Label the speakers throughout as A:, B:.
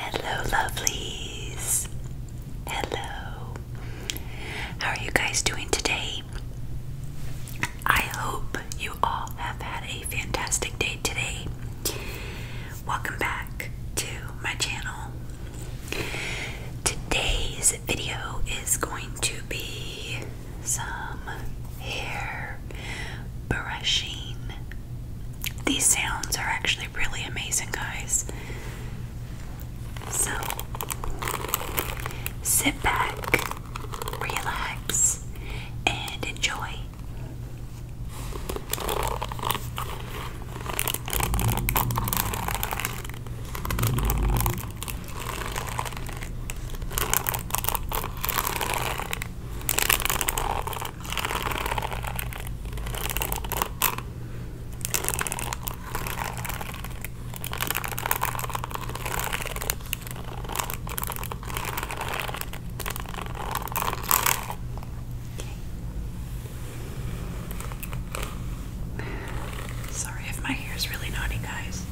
A: Hello, lovelies. Hello. How are you guys doing today? I hope you all have had a fantastic day today. Welcome back to my channel. Today's video is going to be some hair brushing. These sounds are actually really amazing, guys. So sit back, relax, and enjoy. Sorry if my hair is really naughty, guys.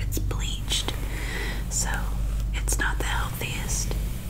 A: It's bleached, so it's not the healthiest.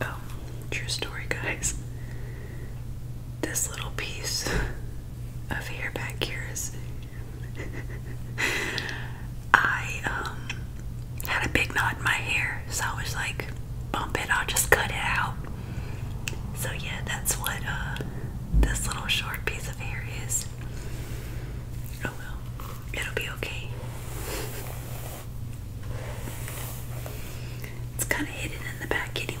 A: Oh, true story, guys. This little piece of hair back here is. I um, had a big knot in my hair, so I was like, bump it, I'll just cut it out. So yeah, that's what uh, this little short piece of hair is. Oh, it'll be okay. It's kind of hidden in the back anyway.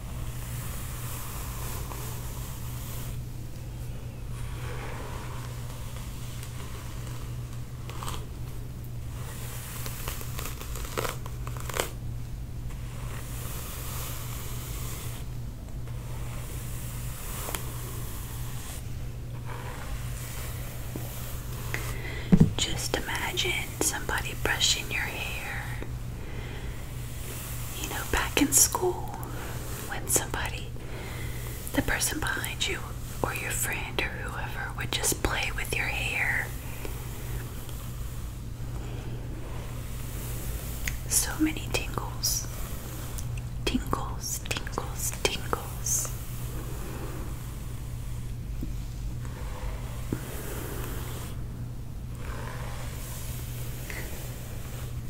A: Just imagine somebody brushing your hair you know, back in school, when somebody, the person behind you or your friend or whoever, would just play with your hair. So many tingles. Tingles, tingles, tingles.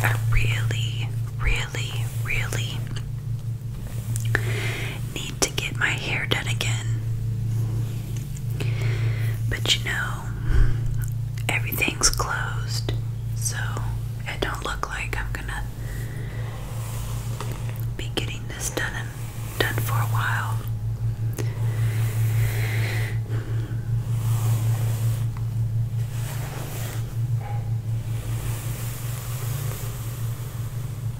A: I really, really, really need to get my hair done again. But you know, everything's closed, so it don't look like I'm gonna be getting this done and done for a while.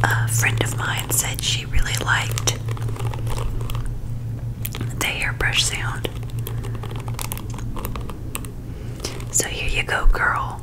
A: A friend of mine said she she really liked the hairbrush sound. So here you go, girl.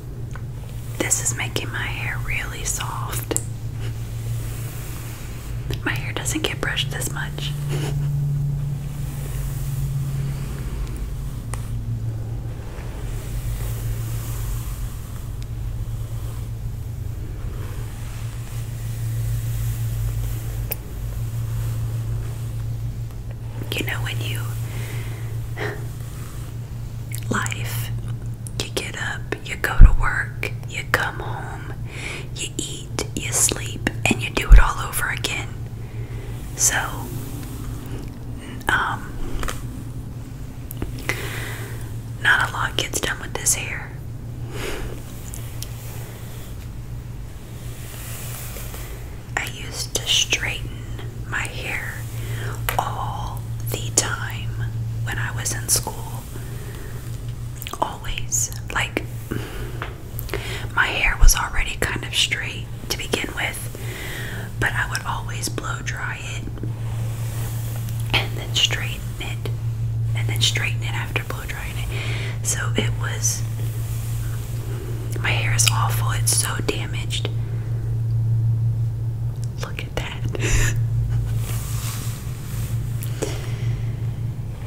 A: This is making my hair really soft. My hair doesn't get brushed this much. You know when you life. You get up, you go to work, you come home, you eat, you sleep, and you do it all over again. So, um, not a lot gets done with this hair. I used to straighten my hair all the time when I was in school. Always. Like, my hair was already kind of straight to begin with, but I would always blow dry it and then straighten it and then straighten it after blow drying it. So it was. My hair is awful. It's so damn. Look at that.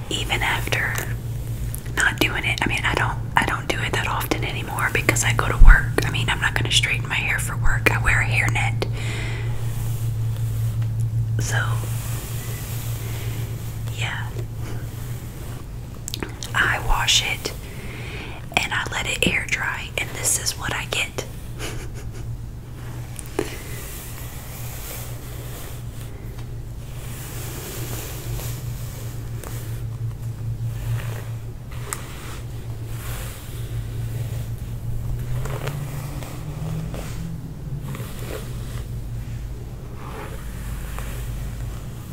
A: Even after not doing it, I mean, I don't I don't do it that often anymore because I go to work. I mean, I'm not going to straighten my hair for work. I wear a hairnet. So, yeah. I wash it and I let it air dry, and this is what I get.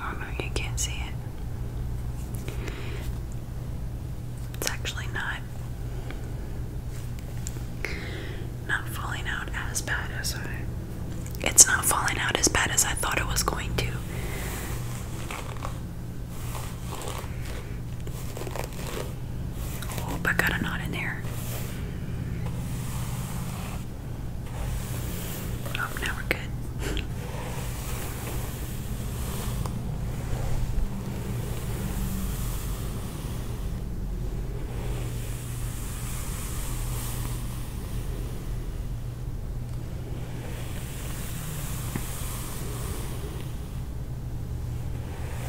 A: Oh no, you can't see it. It's actually not not falling out as bad as I it's not falling out as bad as I thought it was going to. Oh, but got a knot in there. Oh, now we're good.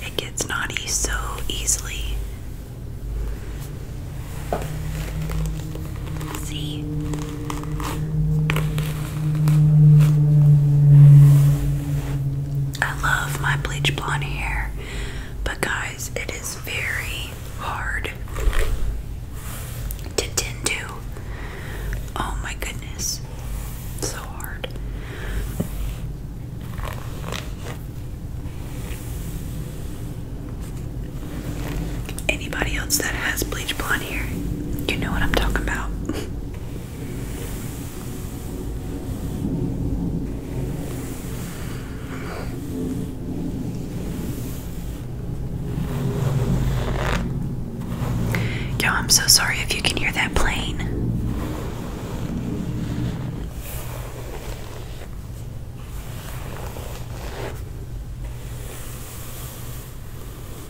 A: It gets naughty so easily. See? I love my bleach blonde hair, but guys, it is very hard to tend to. Oh my goodness, so hard anybody else that has bleach blonde hair, you know what I'm talking about. Yo, I'm so sorry if you can hear that plane.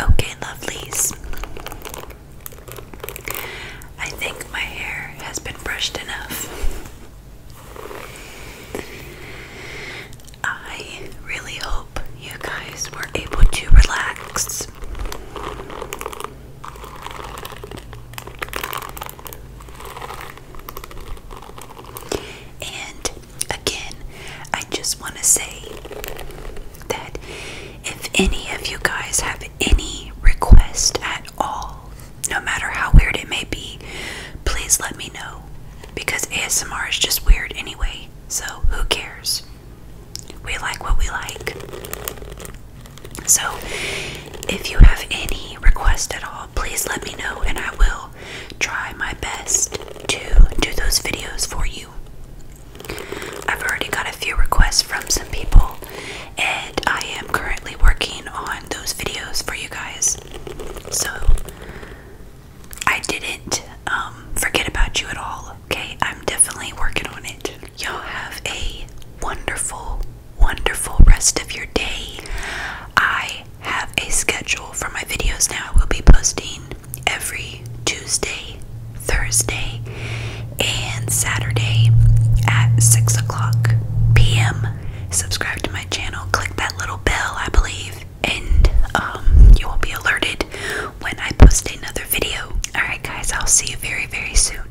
A: Okay, lovelies. I think my hair has been brushed enough. I really hope you guys were able to relax. And again, I just want to say that if any of you guys have any request at all, no matter how weird it may be, please let me know because ASMR is just weird anyway. So, who cares? We like what we like. So, if you have any request at all, please let me know and I will try my best to do those videos for you. I've already got a few requests from some people, and I am currently working on those videos for you guys. So I didn't um, forget about you at all, okay? I'm definitely working on it. Y'all have a wonderful, wonderful rest of your day. I have a schedule for my videos now. I will be posting every Tuesday, Thursday, and Saturday at 6 o'clock p.m. Subscribe to my channel, click that little bell, I believe, and um, you will be alerted when I post another video. Alright, guys, I'll see you very, very soon.